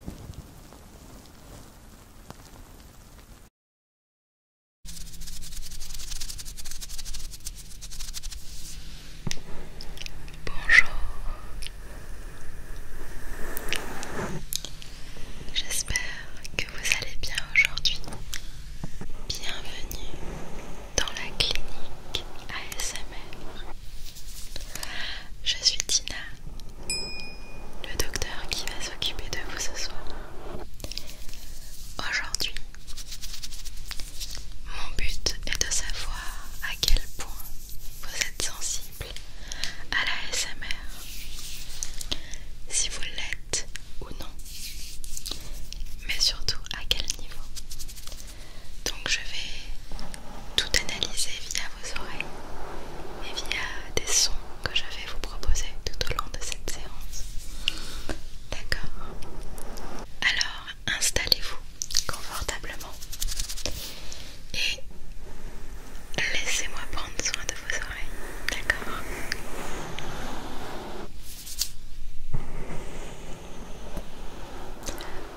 Bonjour, j'espère que vous allez bien aujourd'hui. Bienvenue dans la clinique ASMR. Je suis Tina, le docteur qui va s'occuper de vous ce soir. Aujourd'hui, mon but est de savoir à quel point vous êtes sensible à la SMR, si vous l'êtes ou non, mais surtout à quel niveau. Donc je vais tout analyser via vos oreilles et via des sons que je vais vous proposer tout au long de cette séance. D'accord Alors, installez-vous confortablement et laissez-moi prendre soin de vos oreilles. D'accord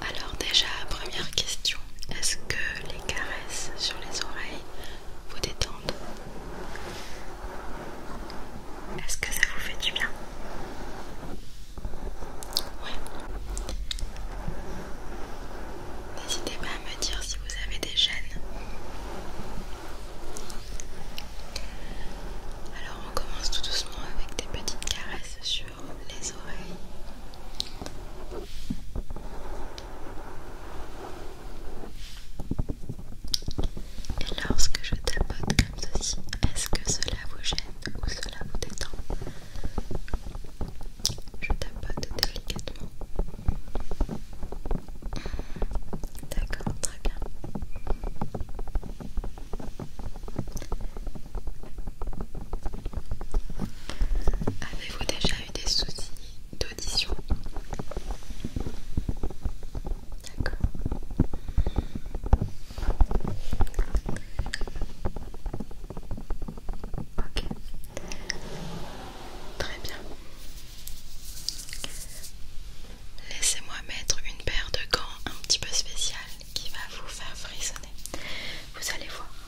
alors déjà, première question, est-ce que les caresses sur les oreilles vous détendent Est-ce que ça vous fait du bien Ouais. N'hésitez pas à me dire si vous avez des gênes Alors on commence tout doucement avec des petites caresses sur les oreilles. Et lorsque je tapote comme ceci, est-ce que cela vous gêne ou cela vous détend Je tapote délicatement. D'accord, très bien. Avez-vous déjà eu des soucis d'audition D'accord. Ok. Très bien. Laissez-moi mettre une paire de gants un petit peu spéciale qui va vous faire frissonner. Vous allez voir.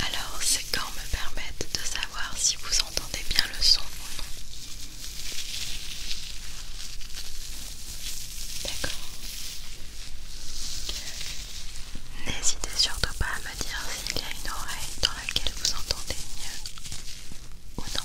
Alors ces quand me permettent de savoir si vous vous entendez bien le son ou non D'accord. N'hésitez surtout pas à me dire s'il y a une oreille dans laquelle vous entendez mieux ou non.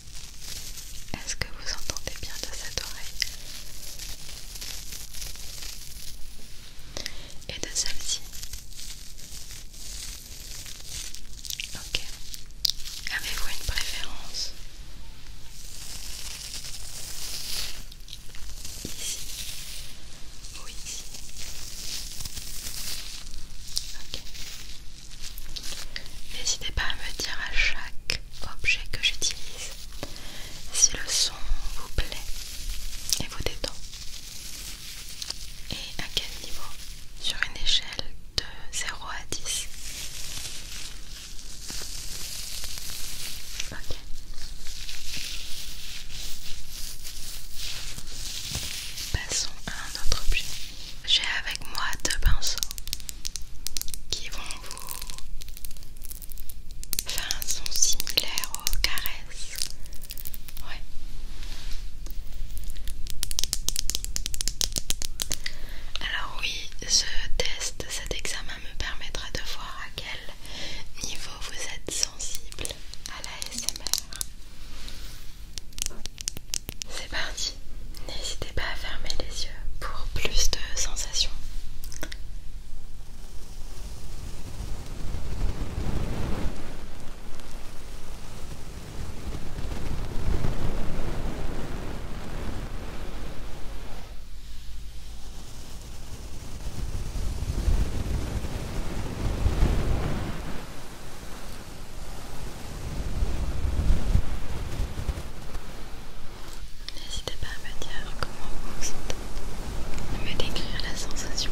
Est-ce que vous entendez bien de cette oreille Et de celle-ci Ok. Avez-vous une préférence Ici ou ici Ok. N'hésitez pas à me dire à chaque objet que j'utilise si le son vous plaît et vous détend et à quel niveau sur une échelle de 0 à 10. Ok. Passons à un autre objet. J'ai avec moi deux pinceaux qui vont vous faire un son similaire aux caresses. Ouais. Alors oui, ce test, cet examen me permettra de voir à quel niveau vous êtes sensible à la SMR. C'est parti, n'hésitez pas à fermer les yeux pour plus de sensations. N'hésitez pas à me dire comment vous vous me décrire la sensation.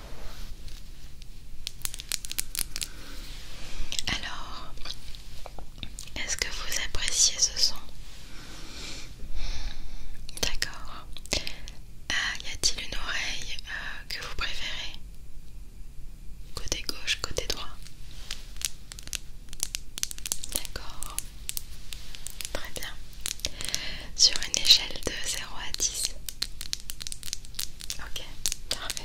Alors, est-ce que vous appréciez ce son D'accord. Ah, y a-t-il une oreille euh, que vous préférez Côté gauche, côté droit D'accord. Très bien sur une échelle de 0 à 10. Ok, parfait.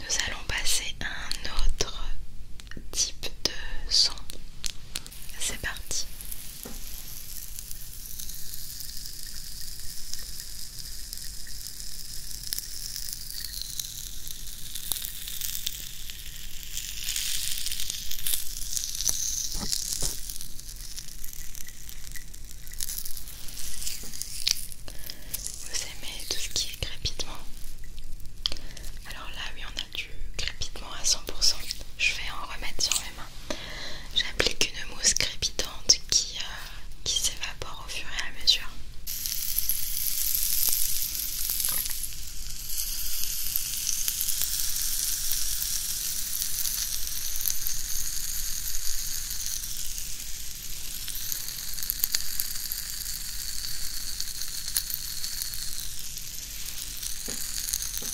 Nous allons passer à un autre type de son. C'est parti. Vous aimez tout ce qui est crépitement Alors là, oui, on a du crépitement à 100%. Je vais en remettre sur mes mains. J'applique une mousse crépitante qui, euh, qui s'évapore au fur et à mesure.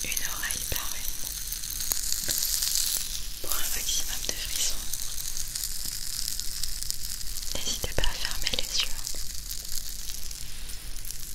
Une oreille par une pour un maximum de frissons. N'hésitez pas à fermer les yeux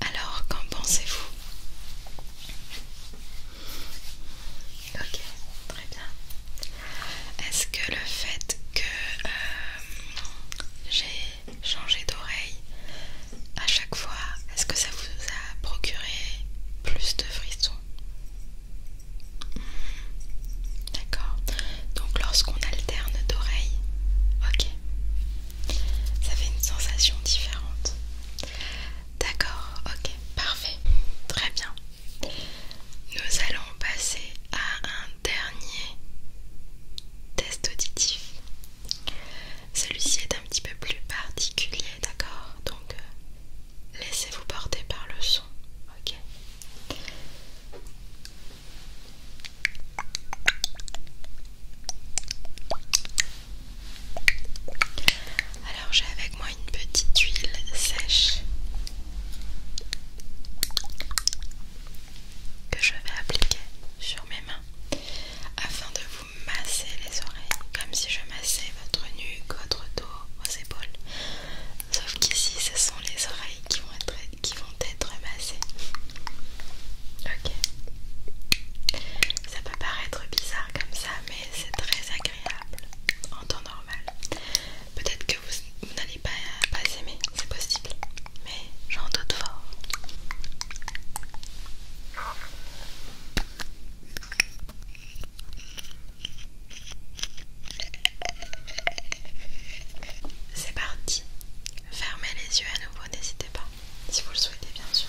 Alors, qu'en pensez-vous Ok, très bien. Est-ce que le fait que euh, j'ai changé d'oreille à chaque fois, est-ce que ça vous a procuré plus de frissons D'accord. Donc lorsqu'on alterne d'oreilles, ok, ça fait une sensation différente. D'accord, ok, parfait, très bien. Nous allons passer à un dernier test auditif. Celui-ci est un petit peu plus particulier D'accord Donc, euh, laissez-vous porter par le son. Ok alors j'ai avec moi une petite huile sèche que je vais appliquer sur mes mains afin de vous vous massez les oreilles comme si je massais votre nuque, votre dos, vos épaules. Sauf qu'ici, ce sont les oreilles qui vont être, qui vont être massées. Ok. Ça peut paraître bizarre comme ça, mais c'est très agréable en temps normal. Peut-être que vous, n'allez pas, pas aimer, c'est possible, mais j'en doute fort. C'est parti. Fermez les yeux à nouveau, n'hésitez pas, si vous le souhaitez bien sûr.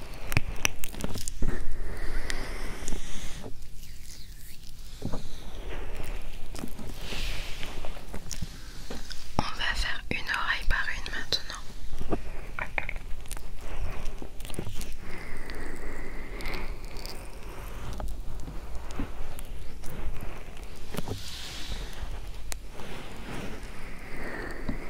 On va faire une oreille par une maintenant.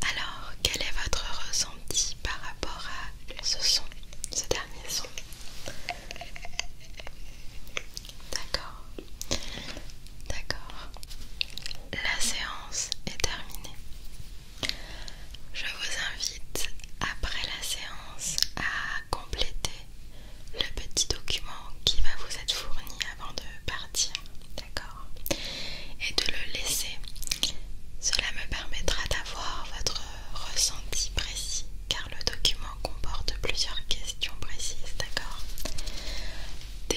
Alors, quel est votre ressenti par rapport à ce son, ce dernier son D'accord. D'accord. La séance est terminée. Je vous invite après la séance à compléter le petit document qui va vous être fourni avant de partir. D'accord Et de le laisser. Cela me permettra d'avoir votre ressenti précis car le document comporte plusieurs questions précises, d'accord des,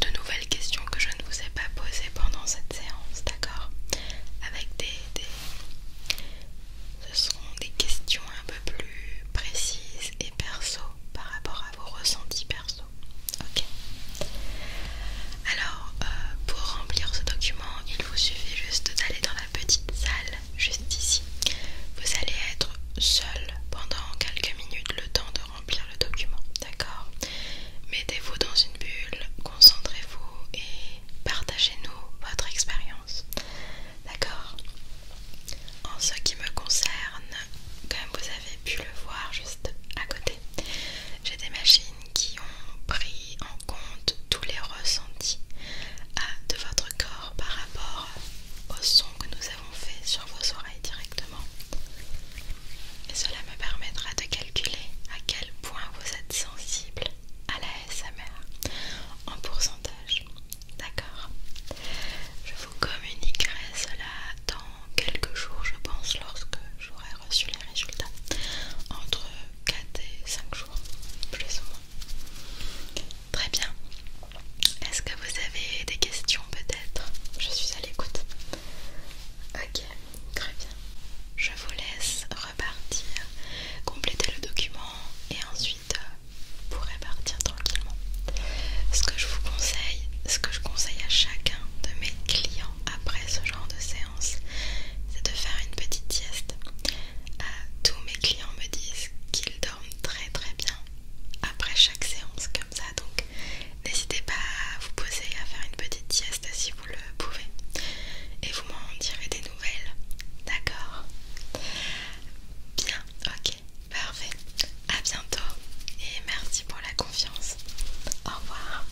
De nouvelles questions que je ne vous ai pas posées pendant cette séance, d'accord Avec des, des... Ce seront des questions un peu plus précises et perso par rapport à vos ressentis perso. Ok alors, euh, pour remplir ce document, il vous suffit juste d'aller dans la petite salle juste ici. Vous allez être seul pendant quelques minutes le temps de remplir le document, d'accord Mettez-vous dans une bulle, concentrez-vous et partagez-nous votre expérience, d'accord En ce qui me concerne, comme vous avez pu le voir juste à côté, j'ai des machines qui ont pris en compte tous les ressentis de votre corps par rapport au son que nous avons fait sur vos oreilles directement. Et cela me permettra de calculer à quel point vous êtes sensible à la SMR en pourcentage. D'accord Je vous communiquerai cela dans quelques jours, je pense, lorsque j'aurai reçu les résultats entre 4 et 5 jours, plus ou moins. Très bien. Est-ce que vous avez des questions peut-être Je suis à l'écoute. Ok, très bien. Je vous laisse repartir, compléter le document et ensuite euh, vous repartir tranquillement. Ce que je vous conseille, ce que je conseille à chacun de mes clients après ce genre de séance, c'est de faire une petite sieste. Euh, tous mes clients me disent qu'ils dorment très très bien après chaque séance comme ça, donc n'hésitez pas à vous poser à faire une petite sieste si vous le pouvez. Et vous m'en direz des nouvelles, d'accord Bien, ok, parfait. À bientôt et merci pour la confiance. Au revoir.